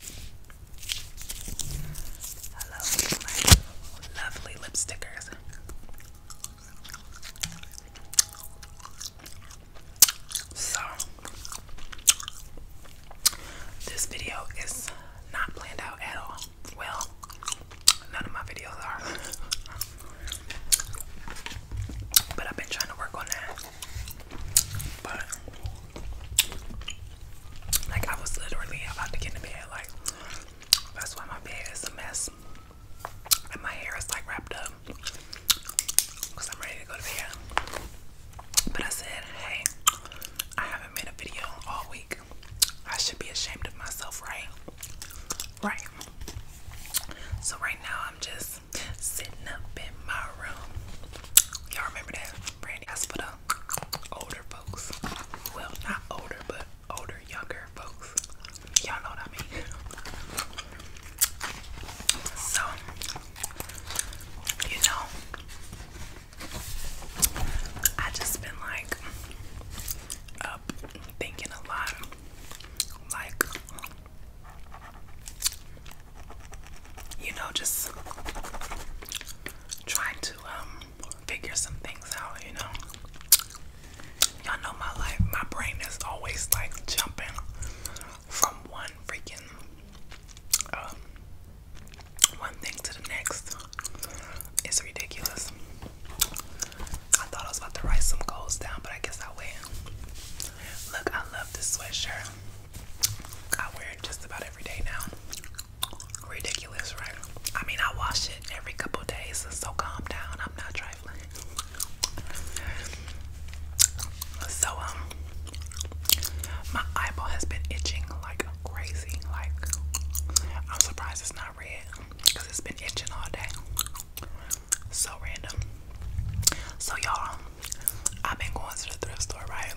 Hello, my lovely lipstickers. So, this video is not planned out at all. Well, none of my videos are. But I've been trying to work on that. But like I was literally about to get in bed. Like that's why my bed is a mess. And my hair is like wrapped up. Cause I'm ready to go to bed. But I said, hey, I haven't made a video all week. I should be ashamed of myself, right? Right. So right now I'm just sitting up in my room. Y'all remember that? Brandy Hospital. Older folks. Well, not older, but older, younger folks. Y'all know what I mean. So, you know, I just been like up thinking a lot. Like, you know, just trying to um figure some things out, you know. Y'all know my life, my brain is always like jumping from one freaking um one thing to the next. It's ridiculous. I thought I was about to write some goals down, but I guess I will. Look, I love this sweatshirt. I wear it just about every day now. Ridiculous, right? I mean, I wash it every couple days, so calm down. I'm not trifling. So, um, my eyeball has been itching like crazy. Like, I'm surprised it's not red because it's been itching all day. So random. So, y'all, I've been going to the thrift store, right?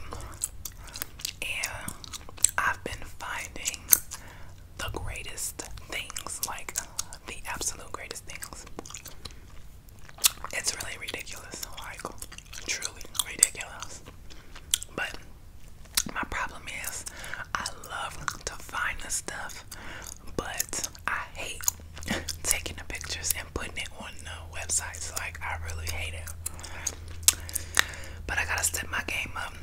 and I've been finding the greatest things like the absolute greatest things. It's really ridiculous, like truly ridiculous. But my problem is, I love to find the stuff, but I hate taking the pictures and putting it on the website. So like I really hate it. But I gotta step my game up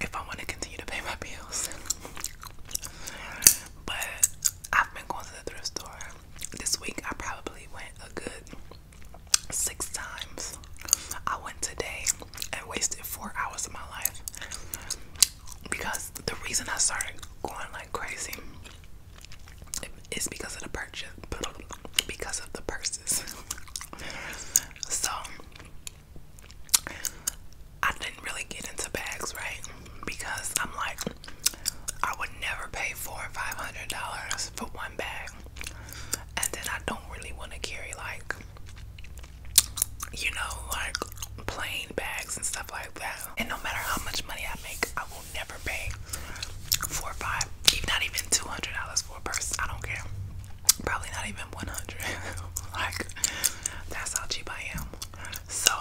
if I wanna continue to pay my bills. but I've been going to the thrift store. This week I probably went a good six times. I went today and wasted four hours of my life because the reason I started going like crazy it's because of the purchase, because of the purses. so I didn't really get into bags, right? Because I'm like, I would never pay four and five hundred dollars for one bag, and then I don't really want to carry like, you know, like plain bags and stuff like that. And no matter how much money I make, I will will never pay four or five, even not even two hundred dollars for a purse. I don't care. Probably not even one hundred. like that's how cheap I am. So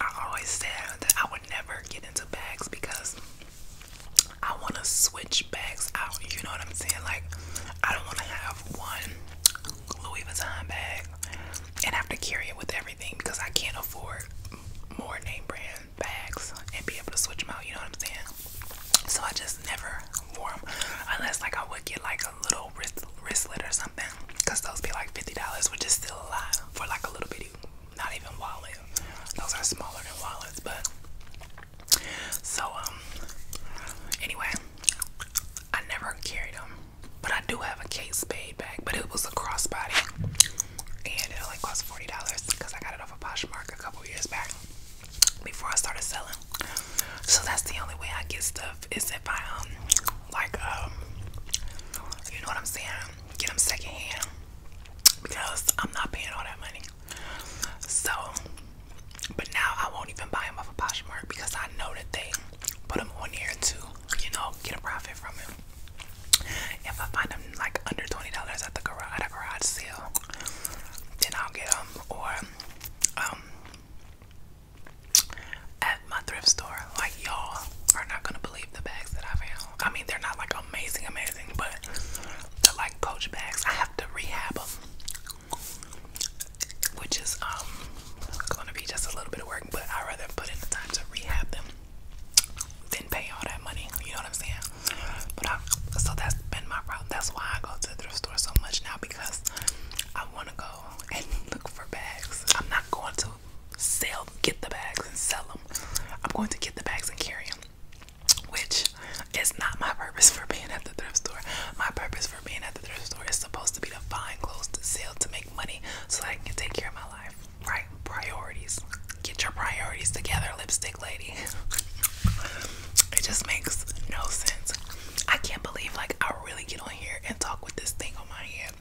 I always said that I would never get into bags because I want to switch bags out. You know what I'm saying? Like I don't want to have one Louis Vuitton bag and have to carry it with everything because I can't afford more name brand bags and be able to switch them out, you know what I'm saying? So I just never wore them unless like I would get like a little wrist wristlet or something those be like $50, which is still a lot for like a little bitty, not even wallet. Those are smaller than wallets, but so um anyway, I never carried them. But I do have a Kate Spade bag, but it was a crossbody and it only cost $40 because I got it off of Poshmark a couple years back before I started selling. So that's the only way I get stuff is if I, um, like, um, you know what I'm saying? Get them secondhand because I'm not paying all that money. So, but now I won't even buy them off of Poshmark because I know that they put them on here to, you know, get a profit from it. If I find them like under twenty dollars at the garage sale, then I'll get them or um, at my thrift store. Like y'all are not gonna believe the bags that I found. I mean, they're not like amazing, amazing, but like Coach bags. I have to rehab them, which is um gonna be just a little bit of work. But I rather put in the time to rehab them didn't pay all that money. You know what I'm saying? But so that's been my problem. That's why I go to thrift store so much now because I want to go and look for bags. I'm not going to sell, get the bags and sell them. I'm going to get the bags and carry them, which is not my purpose for being at the thrift store. My purpose for being at the thrift store is supposed to be to find clothes to sell to make money so I can take care of my life. Right, priorities. Get your priorities together, lipstick lady. it just makes no sense. I can't believe like I really get on here and talk with this thing on my head.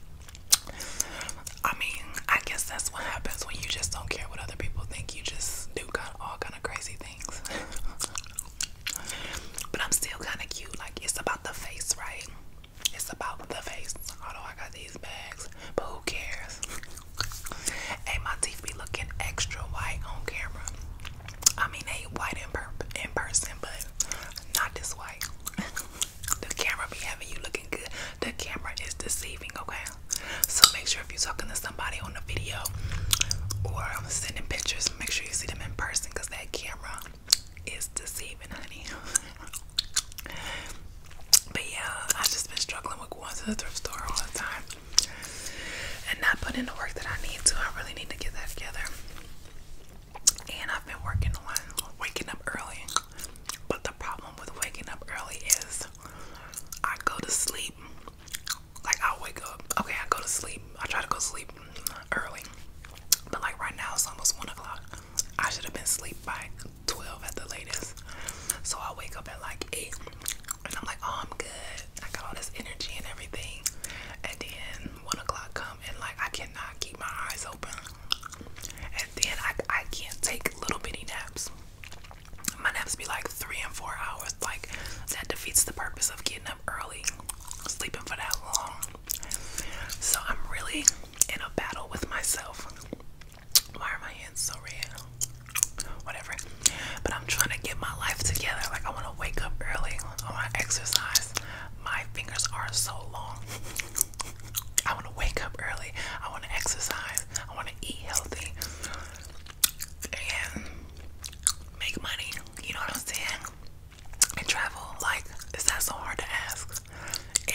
I mean, I guess that's what happens when you just don't care what other people think. You just do kind of all kind of crazy things. but I'm still kind of cute. Like it's about the face, right? It's about the face. Although I got these bags, but who cares? Hey, my teeth be looking extra white on camera. I mean, they white in, per in person, but not this white. the camera be having you looking good. The camera is deceiving, okay? So make sure if you're talking to somebody on the video or sending pictures, make sure you see them in person because that camera is deceiving, honey. But yeah, I've just been struggling with going to the thrift store all the time and not putting the work that I need to. I really need to get that together. And I've been working on waking up early. But the problem with waking up early is I go to sleep. Like I'll wake up. Okay, I go to sleep. I try to go sleep early. But like right now it's almost one o'clock. I should have been asleep by 12 at the latest. So I wake up at like 8 and I'm like, oh, I'm good. I got all this energy and everything. And then 1 o'clock come and like I cannot keep my eyes open. And then I, I can't take little bitty naps. My naps be like 3 and 4 hours. Like that defeats the purpose of getting up early, sleeping for that long. So I'm really in a battle with myself. Why are my hands so red? Whatever. But I'm trying to get my life together. Like, I want to wake up early. I want to exercise. My fingers are so long. I want to wake up early. I want to exercise. I want to eat healthy and make money. You know what I'm saying? And travel. Like, is that so hard to ask?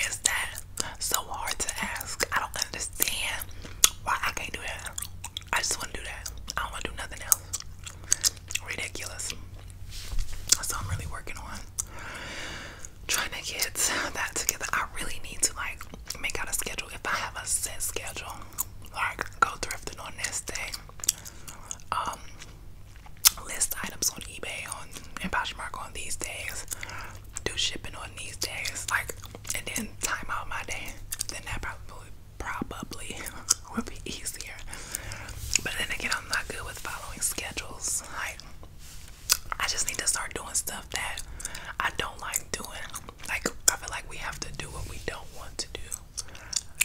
Is that so hard to ask? I don't understand why I can't do that? I just want to do that. I don't want to do nothing else. Ridiculous. So I'm really working on trying to get that together. I really need to like make out a schedule. If I have a set schedule, like go thrifting on this day, um, list items on eBay on and Poshmark on these days, do shipping on these days, like, and then time out my day, then that probably probably would be easier. But then again, I'm not good with following schedules. Like, I just need to start doing stuff that I don't like doing. Like, I feel like we have to do what we don't want to do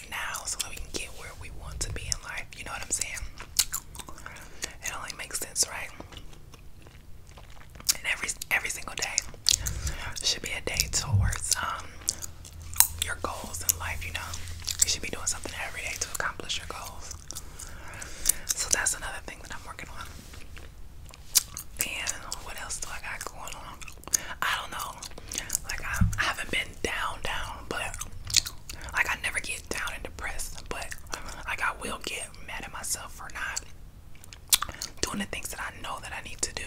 now so that we can get where we want to be in life. You know what I'm saying? It only makes sense, right? And every every single day should be a day towards um your goals in life, you know. You should be doing something every day to accomplish your goals. So that's another thing that I'm working on. And what else do I got going on? I don't know. Like I, haven't been down down, but like I never get down and depressed, but like I will get mad at myself for not doing the things that I know that I need to do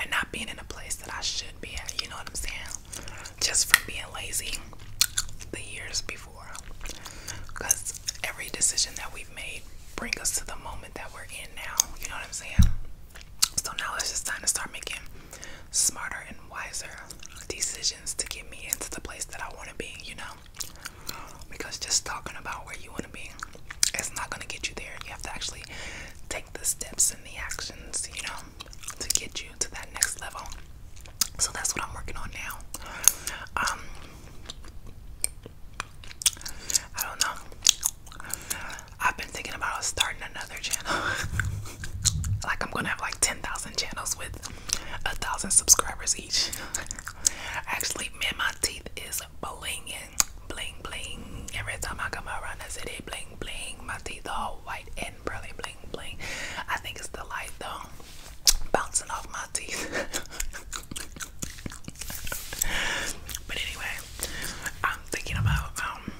and not being in a place that I should be at, you know what I'm saying? Just from being lazy the years before. Because every decision that we've made bring us to the moment that we're in now, you know what I'm saying? So now it's just time to start making smarter and wiser decisions to get me into the place that I want to be, you know? Because just talking about where you want to be, it's not going to get you there. You have to actually take the steps and the actions, you know, to get you to that next level. So that's what I'm working on now. Um, I don't know. I've been thinking about starting another channel. like I'm gonna have like 10,000 channels with a thousand subscribers each. Actually, man, my teeth is blinging bling bling. Every time I come around the city, bling bling. My teeth are all white and pearly, bling bling. I think it's the light though, bouncing off my teeth. but anyway, I'm thinking about um.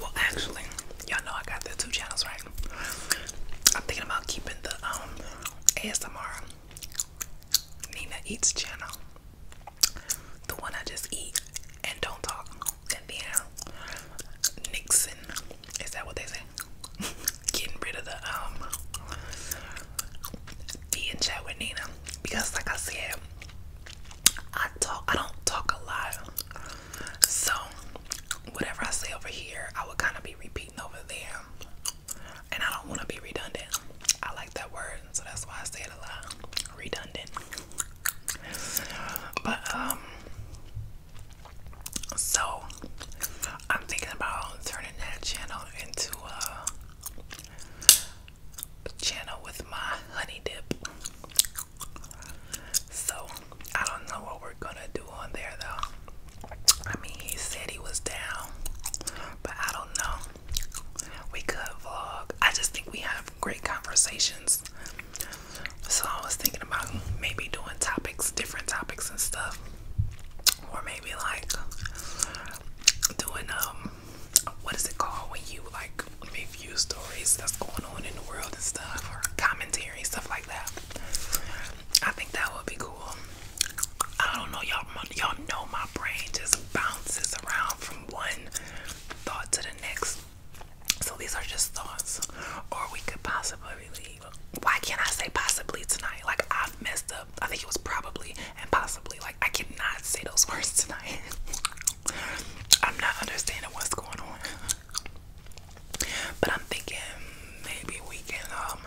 Well, actually, y'all know I got the two channels right. I'm thinking about keeping the um ASMR Nina Eats channel. The one I just eat and don't talk. And then Nixon. Is that what they say? Getting rid of the um the in chat with Nina. Because like I said, I talk I don't talk a lot. So whatever I say over here, I would kind of be repeating over there and I don't want to be redundant. I like that word, so that's why I say it a lot. Redundant. But um so I'm thinking about turning that channel into a channel with my honey dip. So I don't know what we're gonna do on there though. I mean, he said he was down, but I don't know we could vlog. I just think we have great conversations. So I was thinking about maybe doing topics, different topics and stuff. Or maybe like doing um what is it called when you like review stories that's going on in the world and stuff or commentary, stuff like that. I think that would be cool. I don't know, y'all. Y'all know my brain just bounces around from one thought to the next. So these are just thoughts, or we could possibly. Why can't I say possibly tonight? Like I've messed up. I think it was probably and possibly. Like I cannot say those words tonight. I'm not understanding what's going on. But I'm thinking maybe we can um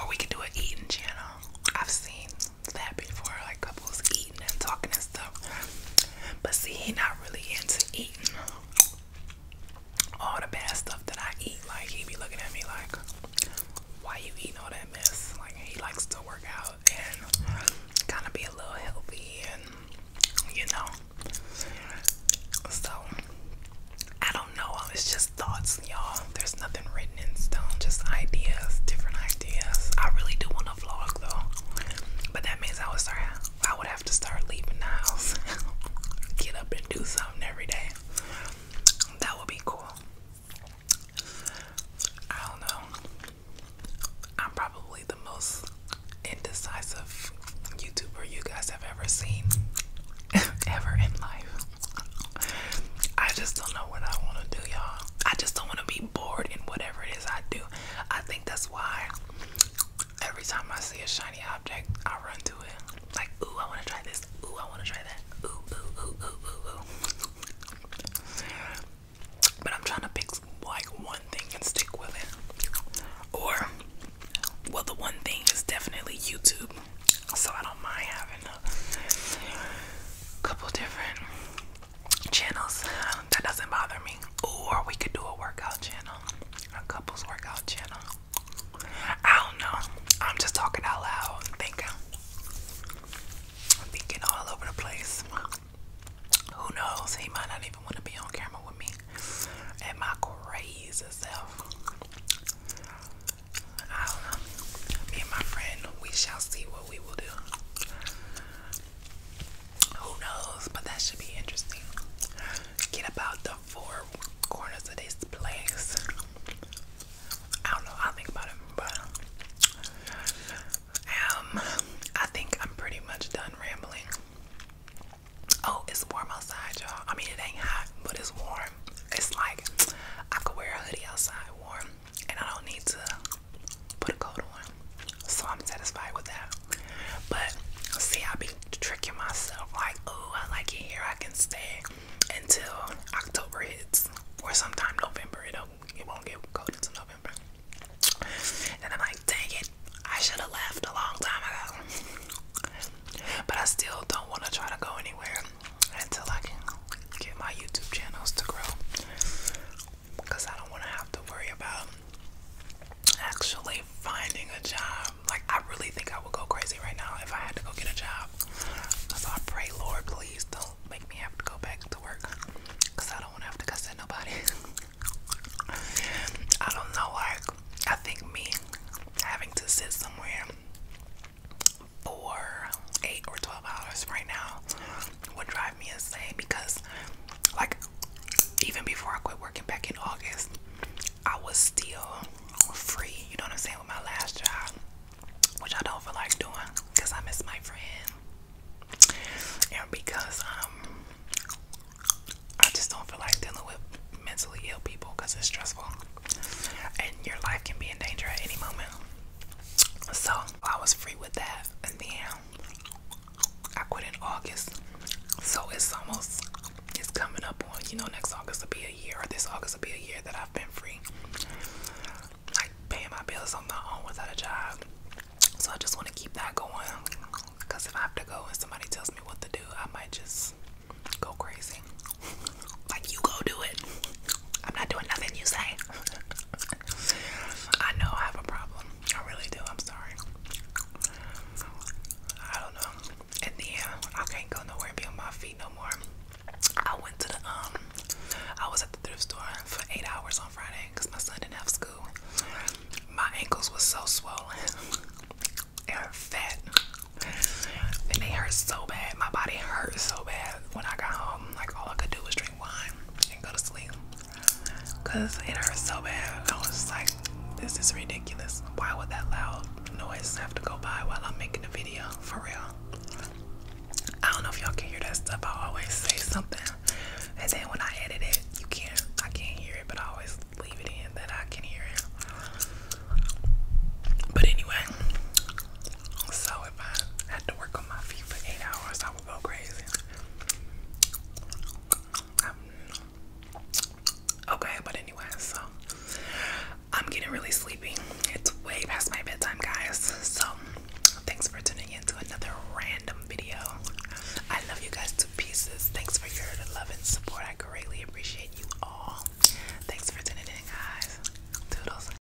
or we could do an eating channel. I've seen that before, like couples eating and talking and stuff. But see, he not really into eating all the bad stuff that I eat. Like he be looking at me like, why you eating all that mess? Like he likes to work out and kind of be a little healthy and you know. So I don't know. It's just thoughts, y'all. There's nothing written in stone, just ideas, different ideas. I really do want to vlog though, but that means I would start. I would have to start leaving the house, get up and do something every day. That would be cool. I don't know. I'm probably the most indecisive YouTuber you guys have ever seen, ever in life. I just don't know what I want to do, y'all. I just don't want to be bored in whatever it is I do. I think that's why every time I see a shiny object, I run to it. Like, ooh, I want to try this. Ooh, I want to try that. Ooh, ooh, ooh, ooh, ooh, ooh. But I'm trying to pick like one thing and stick with it. Or, well, the one thing is definitely YouTube so I don't mind having a couple different channels. That doesn't bother me. or we could do a workout channel, a couples workout channel. I don't know. I'm just talking out loud. I'm thinking. thinking all over the place. Who knows? He might not even want to be on camera with me and my crazy self. I don't know. Me and my friend, we shall see what we will do. Who knows? But that should be interesting. Get about the four corners of this place. I don't know. i think about it, but um, I think I'm pretty much done rambling. Oh, it's warm outside, y'all. I mean, it ain't hot, but it's warm. It's like I could wear a hoodie outside, warm and I don't need to put a coat on. So I'm satisfied with that. But see, I be tricking myself like, oh, I like it here. I can stay until October hits, or sometime November. It'll, it won't get cold until November. And I'm like, dang it, I should have left a long time ago. but I still don't want to try to go anywhere until I can get my YouTube channels to grow. Because I don't want to have to worry about actually finding a job. Like, I really think I would go crazy right now if I had to go get a job. So I pray, Lord, please don't make me have to go back to work. Because I don't want to have to cuss at nobody. I don't know, like, I think me having to sit somewhere for eight or 12 hours right now would drive me insane because, like, even before I quit working back in August, I was still free, you know what I'm saying, with my last job, which I don't feel like doing because I miss my friend and because, um, I just don't feel like dealing with mentally ill people because it's stressful and your life can be in danger at any moment. So I was free with that, and then I quit in August. So it's almost it's coming up on you know next August will be a year, or this August will be a year that I've been free, like paying my bills on my own without a job. So I just want to keep that going, cause if I have to go and somebody tells me what to do, I might just go crazy. Like you go do it. I'm not doing nothing you say. I know I have a problem. I really do. I'm sorry. I don't know. And then I can't go nowhere and be on my feet no more. I went to the um I was at the thrift store for eight hours on Friday because my son didn't have school. My ankles were so swollen. They fat. And they hurt so bad. My body hurt so bad when I got home like all I could do was drink wine and go to sleep it hurt so bad. I was like, this is ridiculous. Why would that loud noise have to go by while I'm making a video? For real. I don't know if y'all can hear that stuff. I always say something, and then when I edit it, you can't. I can't hear it, but I always leave it in that I can hear it. But anyway, so if I had to work on my feet for eight hours, I would go crazy. Um, okay, but anyway, so I'm getting really sleepy. It's way past my bedtime, guys. So thanks for tuning in to another random video. I love you guys to pieces. Thanks for your love and support. I greatly appreciate you all. Thanks for tuning in, guys. Doodles.